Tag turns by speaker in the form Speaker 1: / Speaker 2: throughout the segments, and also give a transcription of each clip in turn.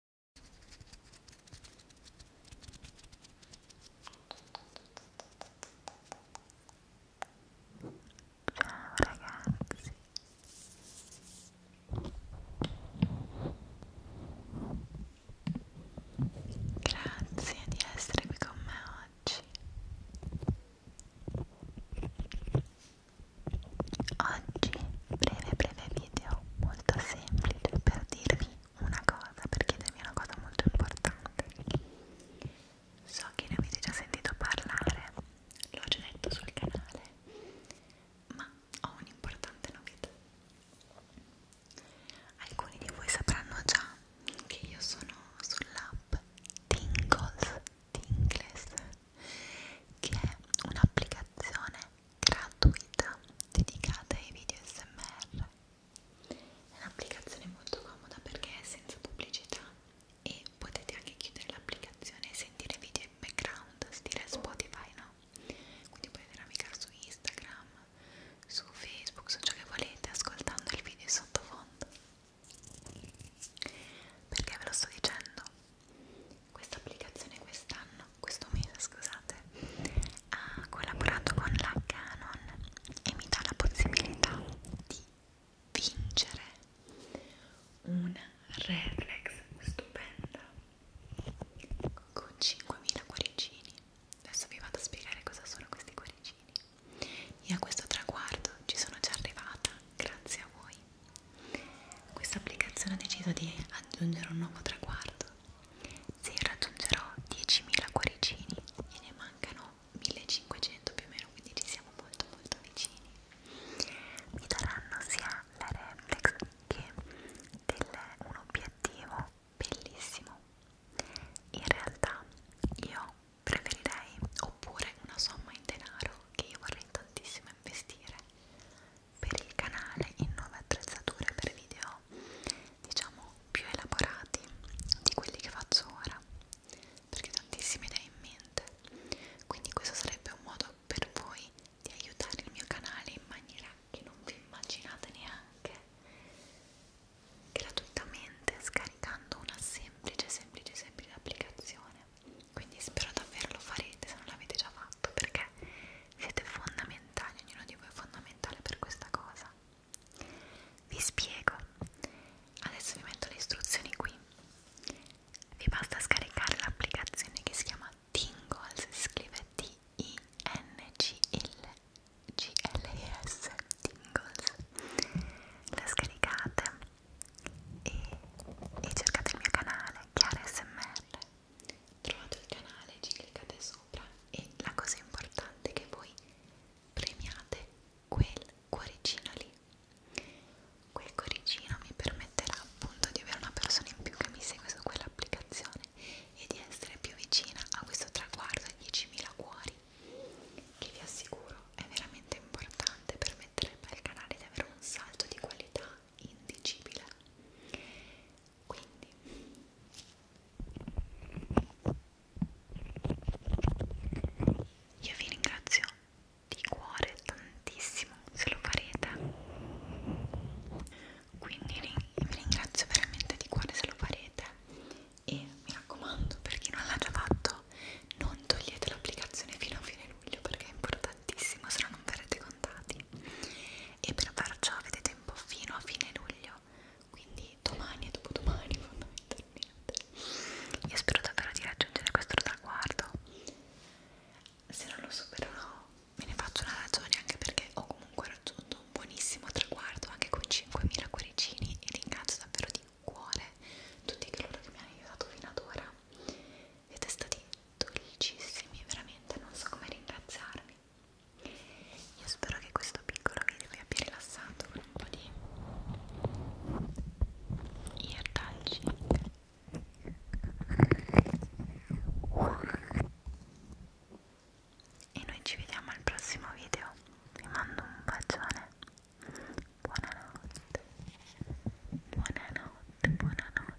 Speaker 1: Ciao ragazzi Grazie di essere qui con me oggi Oggi breve breve video molto semplice per dirvi una cosa, per chiedermi una cosa molto importante. So che ne avete già sentito parlare, l'ho già detto sul canale, ma ho un'importante novità. Alcuni di voi sapranno già che io sono sull'app Tingles Tingles che è un'applicazione gratuita dedicata ai video smr è un'applicazione molto comoda perché è senza pubblicità e potete anche chiudere l'applicazione e sentire video in background stile Spotify no? quindi potete navigare su Instagram su Facebook su ciò che volete ascoltando il video in sottofondo perché ve lo sto dicendo questa applicazione quest'anno, questo mese scusate, ha collaborato con la Canon e mi dà la possibilità di vincere una reflex stupenda con 5.000 cuoricini. Adesso vi vado a spiegare cosa sono questi cuoricini. Io a questo traguardo ci sono già arrivata grazie a voi. Questa applicazione ha deciso di aggiungere un nuovo traguardo se raggiungerò 10.000 cuoricini e ne mancano 1500 più o meno, quindi ci siamo molto molto vicini, mi daranno sia la reflex che del, un obiettivo bellissimo. In realtà io preferirei oppure una somma in denaro che io vorrei tantissimo investire per il canale in nuove attrezzature per video diciamo più elaborati di quelli che faccio ora perché ho tantissime idee in mente quindi questo sarebbe un modo per voi di aiutare il mio canale in maniera che non vi immaginate neanche gratuitamente scaricando una semplice semplice semplice applicazione quindi spero davvero lo farete se non l'avete già fatto perché siete fondamentali, ognuno di voi è fondamentale per questa cosa. Vi spiego. Adesso vi metto le istruzioni qui. Vi basta scaricare l'applicazione che si chiama Tingles, si scrive T-I-N-G-L-G-L-E-S, Tingles. La scaricate e, e cercate il mio canale, Chiara SMR trovate il canale, ci cliccate sopra e la cosa importante è che voi premiate quel cuoricino lì quel cuoricino mi permetterà appunto di avere una persona in più che mi segue su quell'applicazione e di essere più vicina a questo traguardo di 10.000 cuori che vi assicuro è veramente importante permetterebbe al canale di avere un salto di qualità indicibile quindi io vi ringrazio di cuore tantissimo se lo farete quindi vi ringrazio veramente di cuore se lo farete e mi raccomando per chi non l'ha già fatto non togliete l'applicazione fino a fine luglio perché è importantissimo tantissimo se no non verrete contati e per far ciò avete tempo fino a fine luglio quindi domani e dopodomani fondamentalmente io spero davvero di raggiungere questo traguardo se non lo supererò me ne faccio una ragione anche perché ho comunque raggiunto un buonissimo traguardo anche con 5.000 cuoricini e ringrazio davvero di cuore tutti coloro che mi hanno aiutato fino ad ora siete stati dolcissimi, veramente non so come ringraziarvi. Io spero che questo piccolo video vi abbia rilassato con un po' di ear touching. E noi ci vediamo al prossimo video. Vi mando un bacione. Buonanotte. Buonanotte, buonanotte.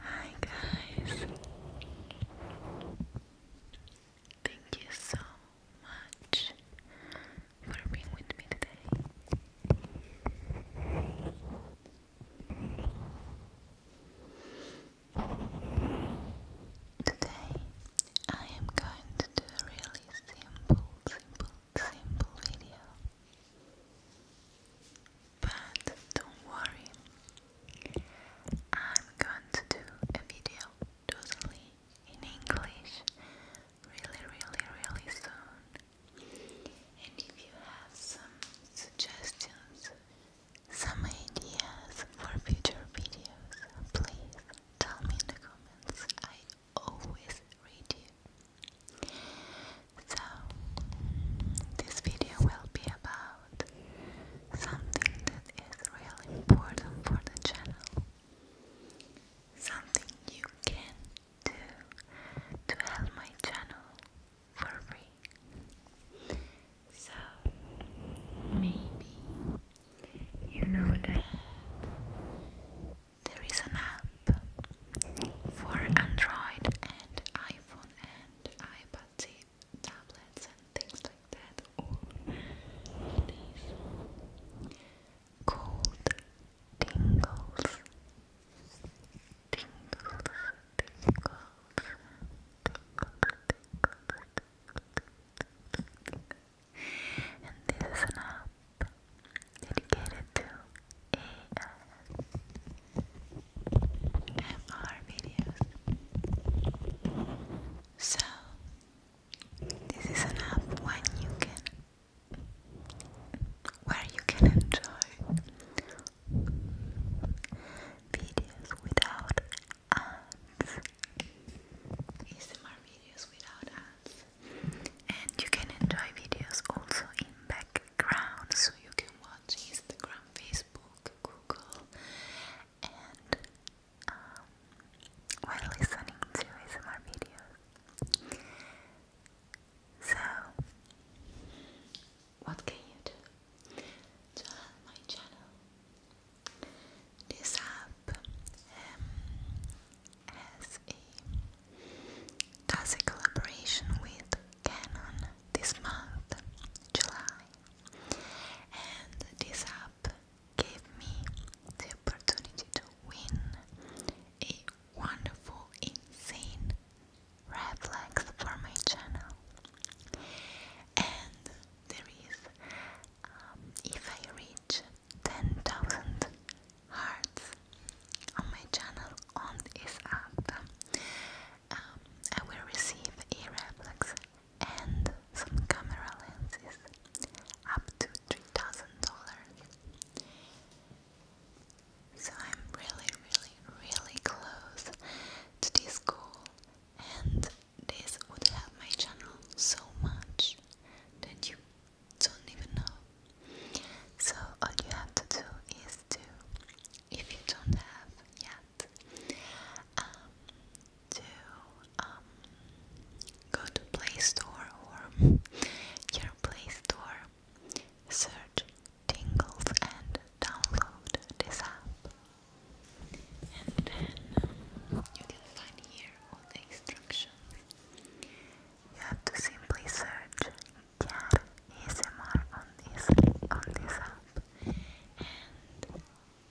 Speaker 1: Hi guys. Thank you so much for being with me today. Today I am going to do a really simple, simple simple video. But don't worry, I'm going to do a video totally in English really, really, really soon. And if you have some suggestions, some ideas for future videos, please tell me in the comments always read you. So, this video will be about something that is really important for the channel. Something you can do to help my channel for free. So, maybe you know that there is an app for Android and iPhone and iPad tablets and things like that or these called tingles. Tingles, tingles, tingles, tingles. And this is an app dedicated to ASMR videos. So, this is an app when you can, where you can um, enjoy um, videos without ads. ASMR um, videos without ads and you can enjoy videos also in background so you can watch Instagram, Facebook, Google and um, while listening to ASMR videos. So what can you do to help my channel? This app up um, does a collaboration with Canon this month, July, and this app gave me the opportunity to win a wonderful, insane red for my channel. And there is, um, if I reach 10,000 hearts on my channel on this app, um, I will receive a reflex and some camera lenses up to $3,000. So I'm really, really, really close to this goal, and this would help my channel so much that you don't even know. So all you have to do is to, if you don't have yet, um, to um, go to Play Store or your Play Store, search Tingles and download this app. And then you can find here all the instructions you have to simply search cat ASMR on this on this app and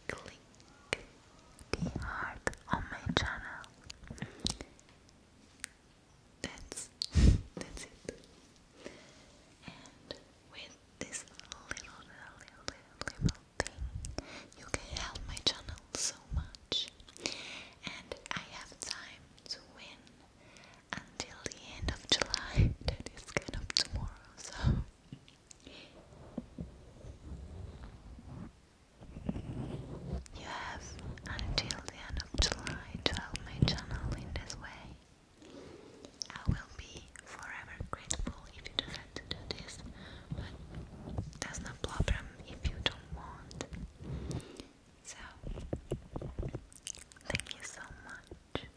Speaker 1: click the heart on my channel. That's that's it. And with this little little little little, you can help my channel so much. And I have time to win until the end of July. that is kind of tomorrow, so. You have until the end of July to help my channel in this way. I will be forever grateful if you decide to do this that's no problem if you don't want. So, thank you so much, and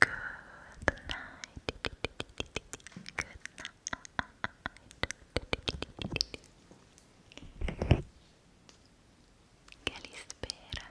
Speaker 1: good night. Good night. Che li spera?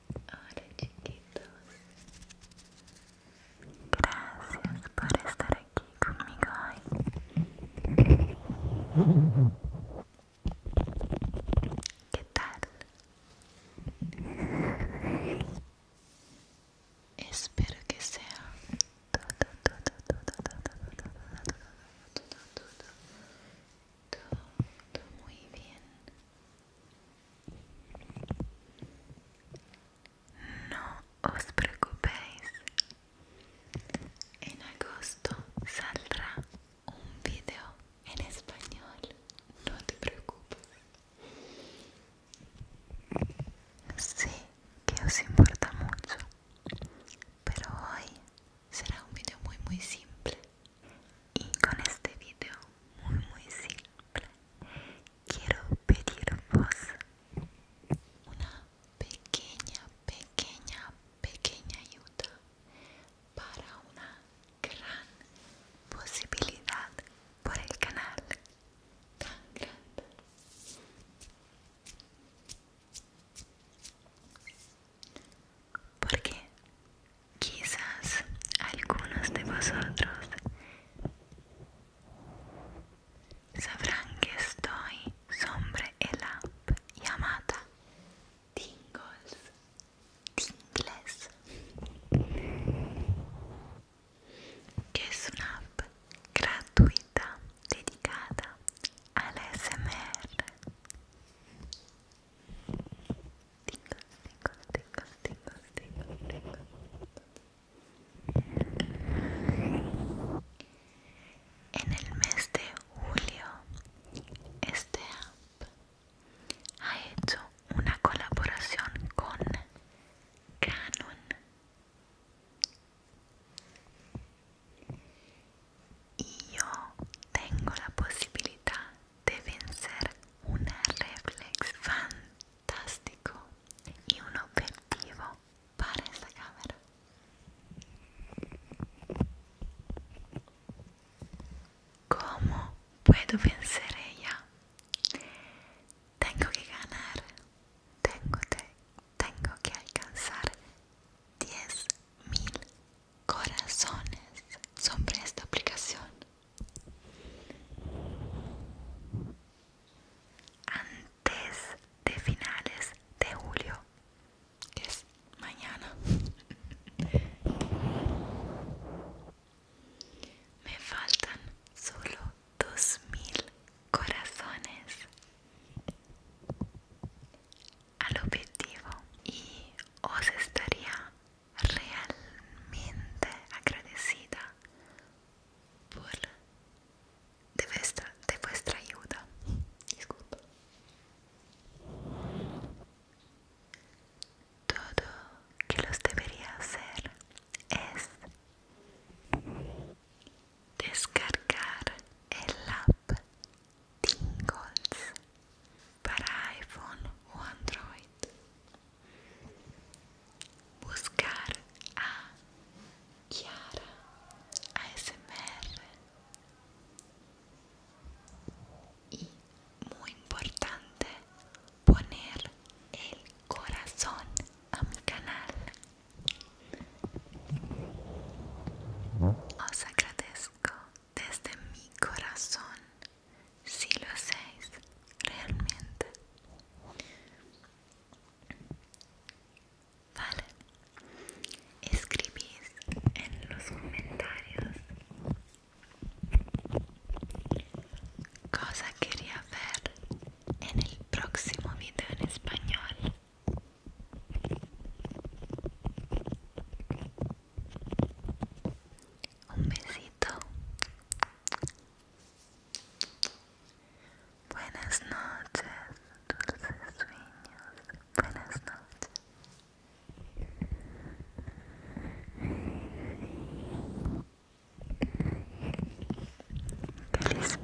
Speaker 1: Hola chiquitos, gracias por estar aquí conmigo ¿Qué tal? Espero que sea todo, todo, todo, todo, todo, todo muy bien. No os preocupéis, en agosto saldrá un video en español, no te preocupes. Sé que os importa mucho, pero hoy será un video muy muy simple y con este video muy muy simple quiero pedir vos una pequeña pequeña pequeña ayuda para una gran posibilidad por el canal tan grande porque Quizás algunos de vosotros sabrán que estoy sobre el app llamada Tingles. Tingles. Que es una app gratuita dedicada al SMR. En el mes de julio, este app ha hecho una colaboración con Canon y yo tengo la posibilidad deben ser un reflex fantástico y un objetivo para esta cámara. ¿Cómo puedo vencer ella? Tengo que ganar, tengo, tengo que alcanzar 10.000 corazones sobre esta aplicación antes de finales de julio que es mañana me faltan solo dos mil corazones al objetivo y os estaría realmente agradecida por de vuestra, de vuestra ayuda. Disculpa. Todo que los debería hacer es descargar el app Tingles para iPhone o Android. Buscar a Chiara ASMR. Y muy importante, poner el corazón a mi canal. Os agradezco desde mi corazón si lo hacéis realmente. Vale, escribís en los comentarios cosa quería ver en el próximo video en español. Un besito. Buenas noches, dulces sueños. Buenas noches.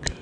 Speaker 1: ¿Qué